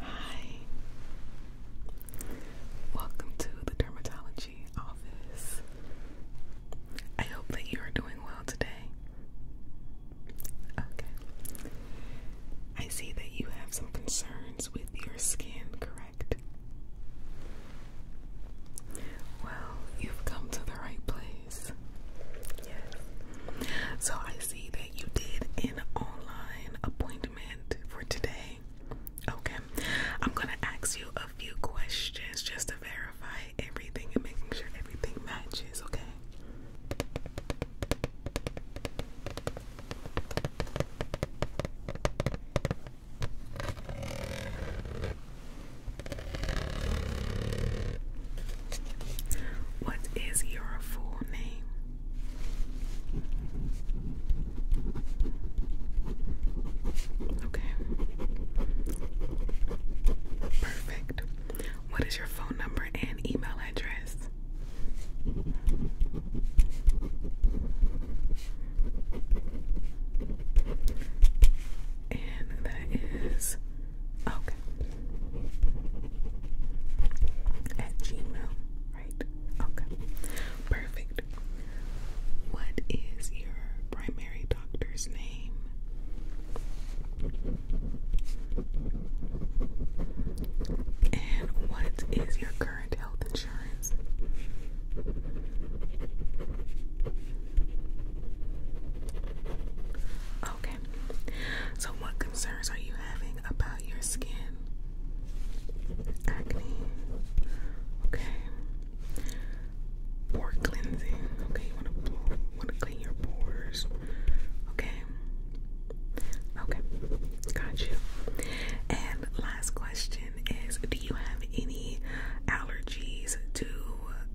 Hi. Welcome to the dermatology office. I hope that you are doing well today. Okay. I see that you have some concerns with your skin, correct? Well, you've come to the right place. Yes. So I see that you did online appointment for today. Okay, I'm gonna ask you a few questions just to verify everything and making sure everything matches, okay? What is your full name? Okay. Perfect. What is your phone number and email address? And that is Okay. At Gmail, right? Okay. Perfect. What is your primary doctor's name? And what is your current health insurance? Okay, so, what concerns are you having about your skin? Acne. Okay. Pore cleansing. Okay, you want to want to clean your pores. Okay. Okay. Got you. And last question is: Do you have any allergies to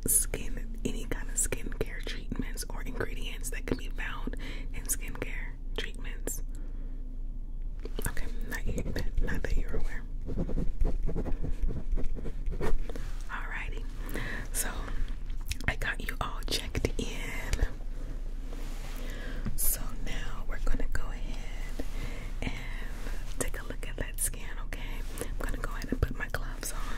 skin, any kind of skin care treatments or ingredients that can be found in skincare treatments. Okay, not, you, not that you're aware. Alrighty, so I got you all checked in. So now we're gonna go ahead and take a look at that skin, okay? I'm gonna go ahead and put my gloves on.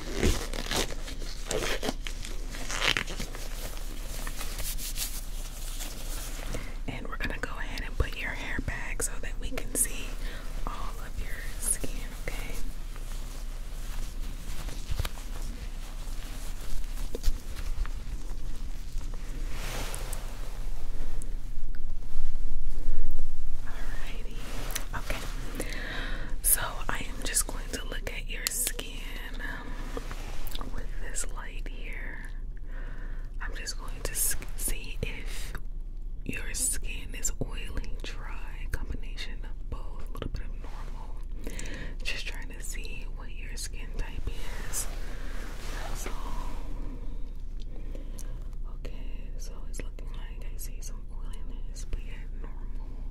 And we're going to go ahead and put your hair back so that we can see all of your skin, okay? Alrighty. Okay. So I am just going to look at your skin um, with this light here. I'm just going to see if your skin is oily, dry, combination of both, a little bit of normal. Just trying to see what your skin type is. That's Okay, so it's looking like I see some oiliness, but yet normal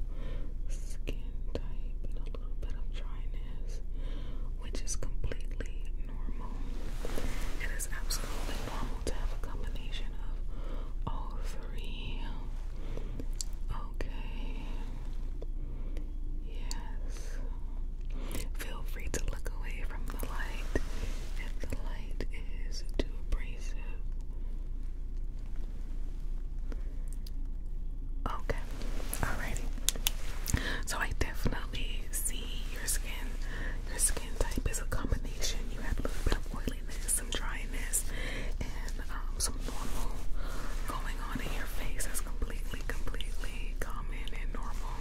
skin type and a little bit of dryness, which is completely normal. It is absolutely normal to have a combination of all three. Okay. Yes. Feel free to look away from the light if the light is too abrasive. Okay, alrighty. So I definitely see your skin. Your skin type is a combination. You have a little bit of oiliness, some dryness, and um, some normal going on in your face. That's completely, completely common and normal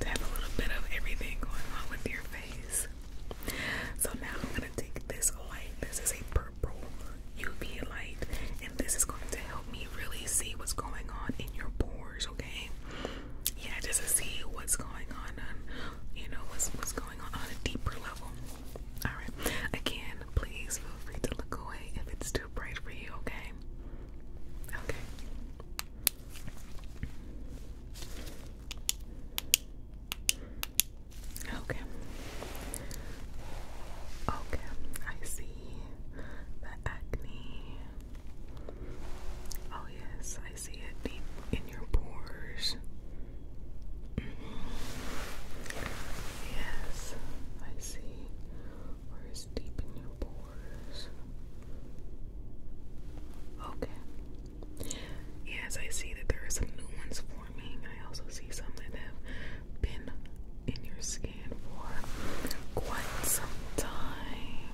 to have a little bit of everything going on with your face. So now I'm gonna take this light. This is a purple UV light, and this is going to help me really see what's going on in your pores, okay? Yeah, just to see what's going on on um, you know what's what's going on on a deeper level. Alright. Again, please feel free to look away if it's too bright for you, okay? Okay. Okay. Okay, I see the acne. Oh, yes, I see it deep in your pores. Mm-hmm. Yes, I see where deep in your pores. Okay, Yes, I see that there are some new ones forming. I also see some that have been in your skin for quite some time.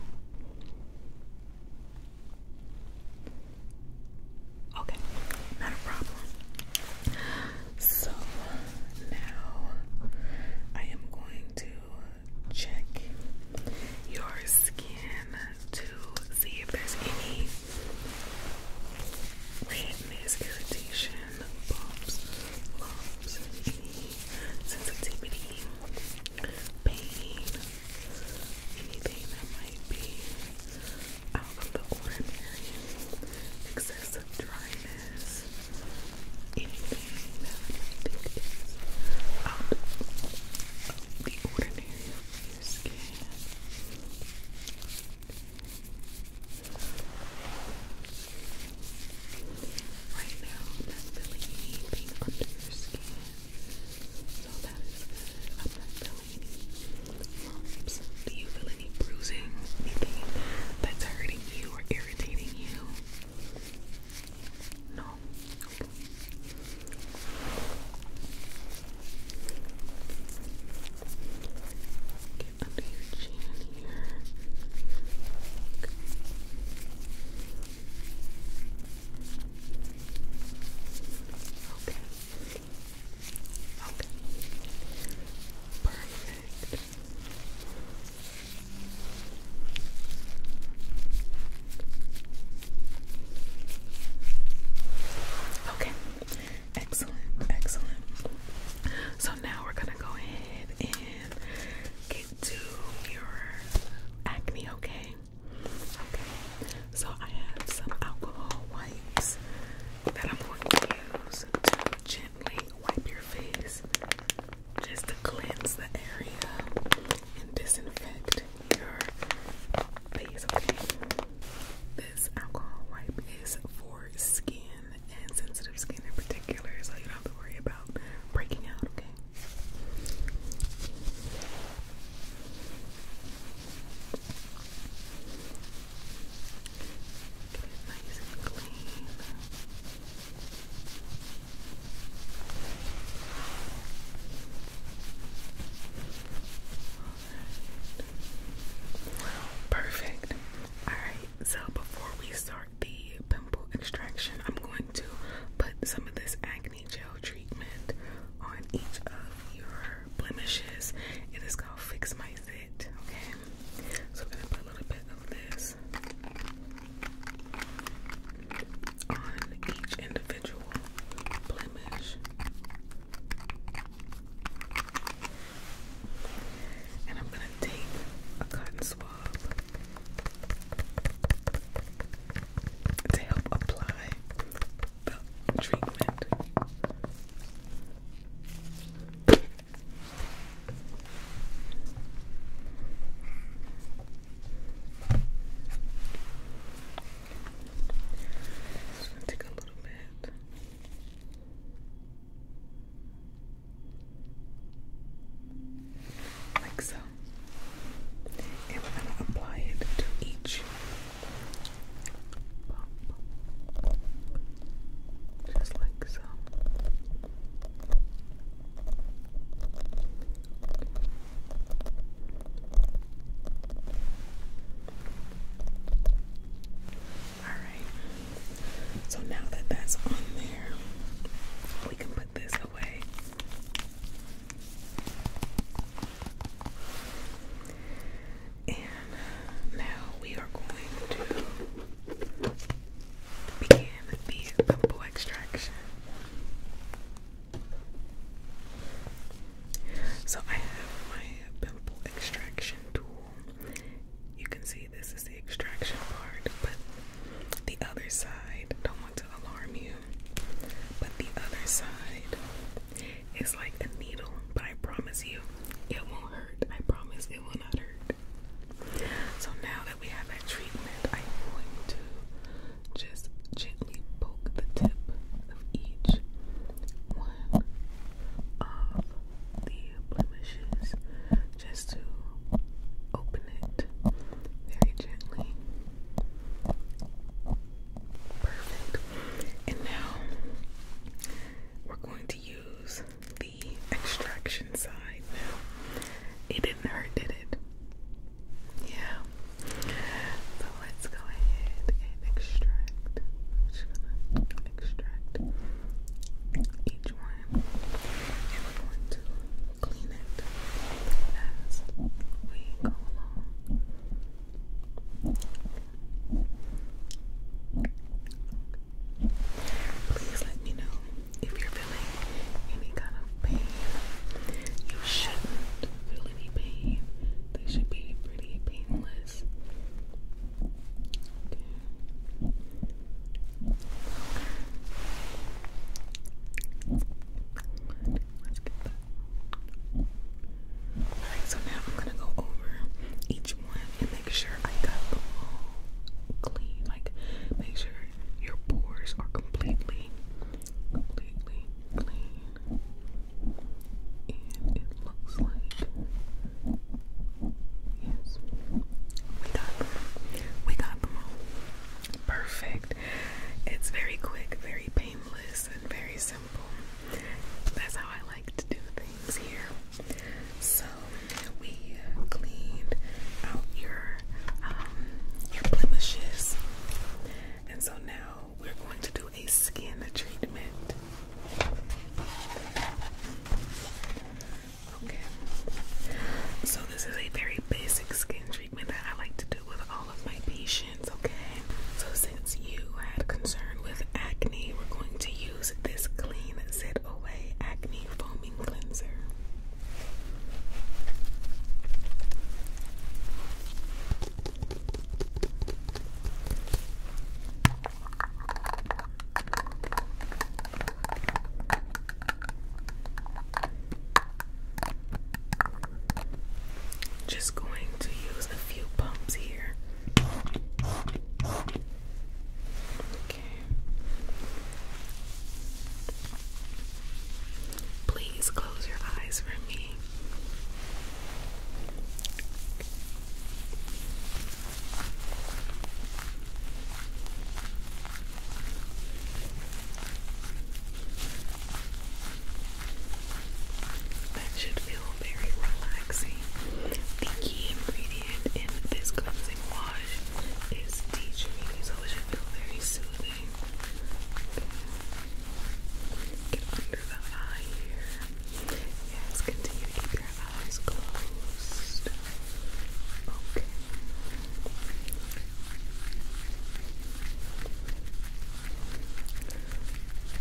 Okay, not problem. So now I am going to check your skin to see if there's any redness, irritation, bumps, lumps, sensitivity, pain, anything that might be out of the ordinary, excessive dryness, anything that I out of the ordinary skin. Right now, that's anything under your skin, so that is good. i feeling Do you feel any bruising? Anything that's hurting you or irritating you? No. Get under your chin here. Okay. Okay. Perfect. Okay, excellent, excellent. So now we're gonna go ahead and get to your acne, okay? Okay, so I have some alcohol wipes that I'm going to use to gently wipe your face just to cleanse the area and disinfect your face, okay? This alcohol wipe is for skin and sensitive skin in particular, so you don't have to worry about breaking out, okay? Get clean. Perfect. Alright, so before we start the pimple extraction, I'm going to put some of this acne gel treatment on each of your blemishes. It is called Fix My Zit, okay? So I'm going to put a little bit of this on each individual blemish. And I'm going to take a cotton swab to help apply the treatment. Just gonna take a little bit. Like so. And we're gonna apply it to each bump. Just like so. Alright, so now that that's on there, we can put this away. And now we are going to begin the bamboo extraction. So I have my pimple extraction tool. You can see this is the extraction part, but the other side, don't want to alarm you, but the other side is like a needle, but I promise you it won't hurt. I promise it will not hurt. So now that we have that treatment, I'm going to just gently poke the tip of each one of the blemishes just to open it very gently. Perfect. And now we're going to use the extraction side now. It didn't hurt, did it? Yeah. But let's go ahead and extract. I'm just gonna extract each one. And we're going to clean it as we go along. Please let me know if you're feeling any kind of pain, you shouldn't feel any pain. They should be pretty painless. Okay. Let's get that. Alright, so now I'm gonna go over each one and make sure I got them all clean. Like, make sure your pores are completely, completely clean. And it looks like yes, we got them. We got them all. Perfect. It's very quick, very painless, and very simple. That's how I like to do things here. So we cleaned out your your um, blemishes. And so now we're going to do a skin treatment. Okay. So this is a very basic skin treatment that I like to do with all of my patients, okay? So since you had concern with acne, we're going to use this clean Zit away acne foaming cleanser. Just going to use a few pumps here. Okay. Please close your eyes for me. That should feel very relaxing. The key ingredient in this cleansing wash is tea tree, so it should feel very soothing. Get under the eye here. Yes, continue to keep your eyes closed. Okay.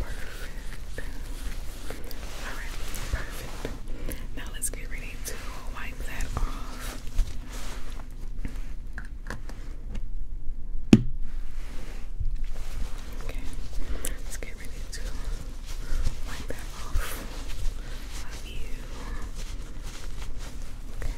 Perfect. Alright, perfect. Now let's get ready to wipe that off. Okay, let's get ready to wipe that off of you. Okay.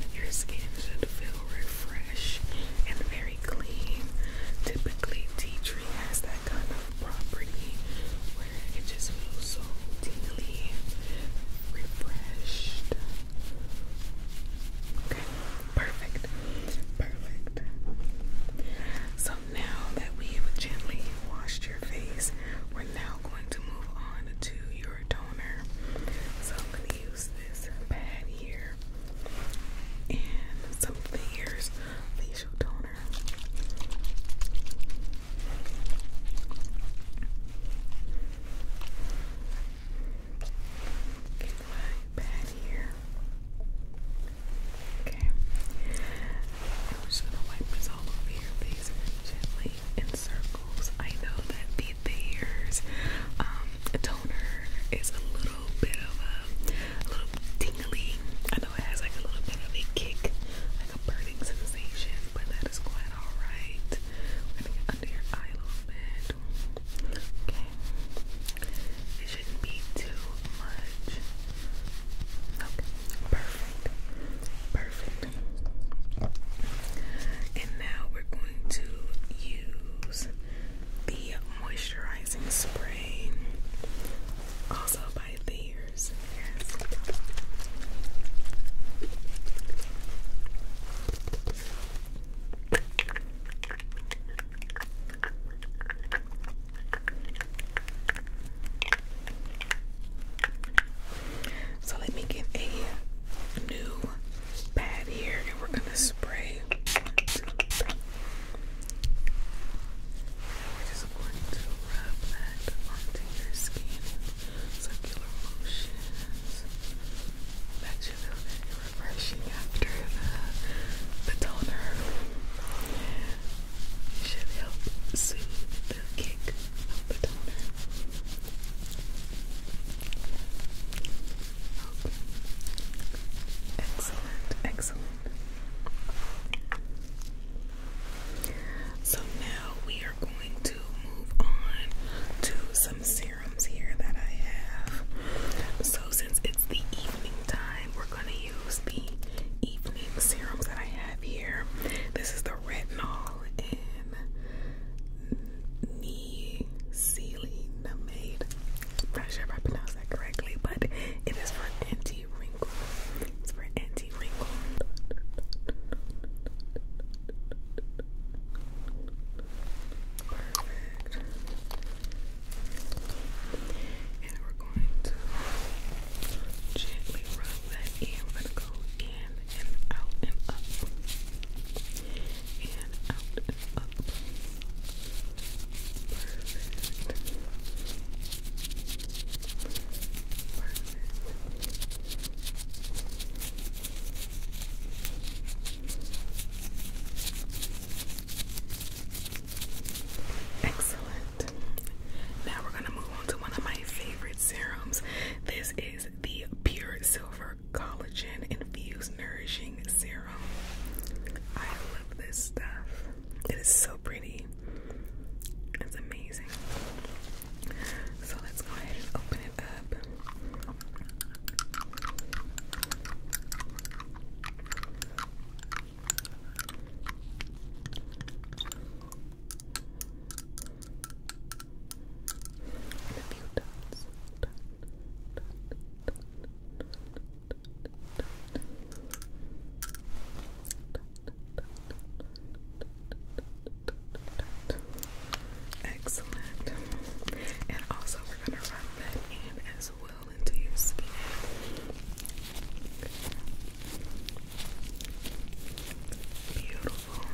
Okay. Your skin should feel fresh and very clean. Typically, tea tree has that kind of property where it just feels so deeply refreshed. Okay, perfect, perfect. So now that we've gently washed your face, we're now going to move on to your toner. So I'm gonna use this pad here and something here's facial toner. Get my pad here. Okay. I'm just gonna wipe this all over your face gently in circles. I know that the with um, a toner is a little bit of a, little tingly. I know it has like a little bit of a kick, like a burning sensation, but that is quite alright. We're gonna get under your eye a little bit. Okay. It shouldn't be too much. Okay, perfect. Perfect. And now we're going to the moisturizing spray, also by Thayer's. Yes. So let me get a new pad here and we're gonna spray. we're just going to rub that onto your skin circular motions. That should feel refreshing after the, the toner. should help soothe the kick of the toner. Excellent, excellent. So now we are going to move on to some serums here that I have. So since it's the evening time, we're going to use the evening serums that I have here. This is the retinol and knee not sure if I pronounced that correctly, but it is for anti-wrinkle. It's for anti-wrinkle. Perfect. And we're going to gently rub that in. We're going to go in and out and up and out and up. Perfect. Perfect. Excellent. Now we're going to move on to one of my favorite serums. This is the Pure Silver collagen infused nourishing serum. I love this stuff. It is so pretty. It's amazing. So let's go ahead and open it up and Excellent. And also, we're going to rub that in as well into your skin. Beautiful.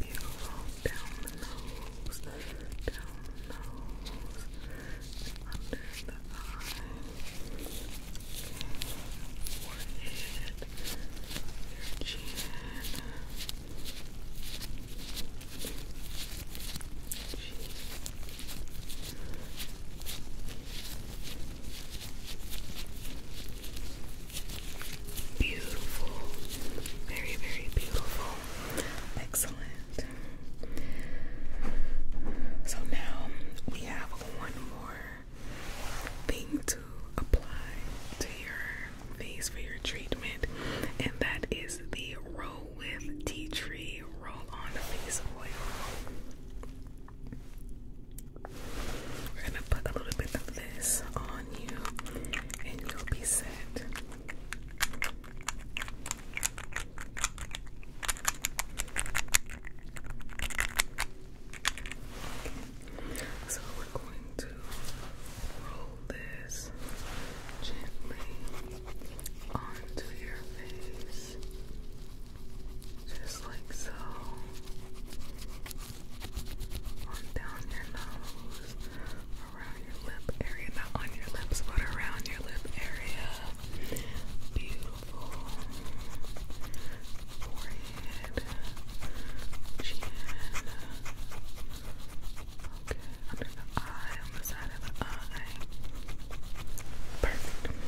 Beautiful. Down the nose, down the nose, under the eye, forehead, your chin. Cheek. Beautiful. Very, very beautiful. Excellent. So now we have one more thing to apply to your face for your treatment, and that is the Roll with Tea Tree Roll On Face Oil. We're gonna put a little bit of this on you and you'll be set. So we're going to roll this gently onto your face. Just like so. On down your nose, around your lip area, not on your lips, but around your lip area. Beautiful. Forehead, chin. Okay, eye, on the side of the eye. Perfect.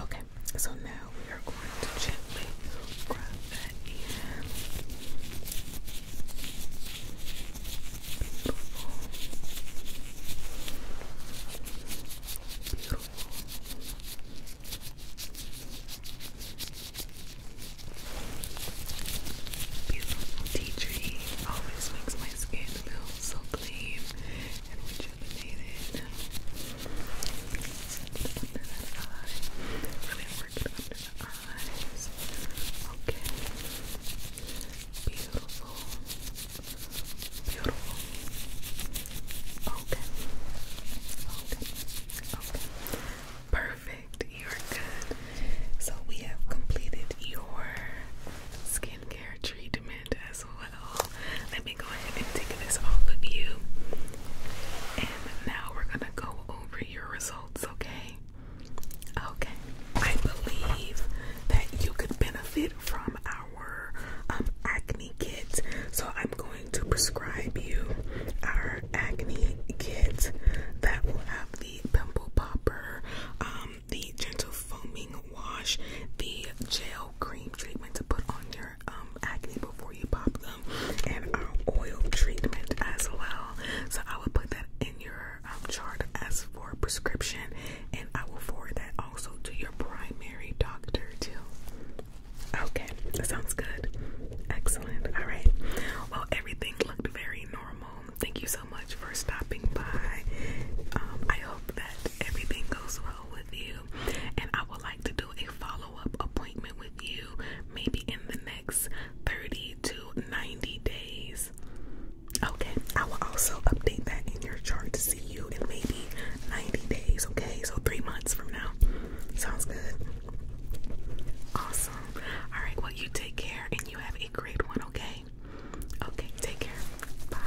Okay, so now we are going to gently grab that Beautiful. Beautiful tea tree always makes my skin feels so clean and rejuvenated. Under that eye. Really work it under the eyes. Okay. Beautiful. Beautiful. Okay. Okay. Okay. Perfect. You're good. So we have completed your skincare treatment as well. Let me go ahead and take this off of you. And now we're gonna go over your results, okay? Okay. I believe that you could benefit from our um, acne kit. So I'm going to prescribe you our acne kit that will have the pimple popper, um, the gentle foaming wash, the gel cream treatment to put on your um, acne before you pop them, and our oil treatment as well. So I will put that in your um, chart as for prescription, and I will forward that also to your primary doctor too. Okay, that sounds good. Excellent. All right. Well, everything looked very normal. Thank you so so much for stopping by. Um, I hope that everything goes well with you, and I would like to do a follow up appointment with you maybe in the next 30 to 90 days. Okay, I will also update that in your chart to see you in maybe 90 days. Okay, so three months from now. Sounds good. Awesome. All right, well, you take care and you have a great one, okay? okay? take care. Bye.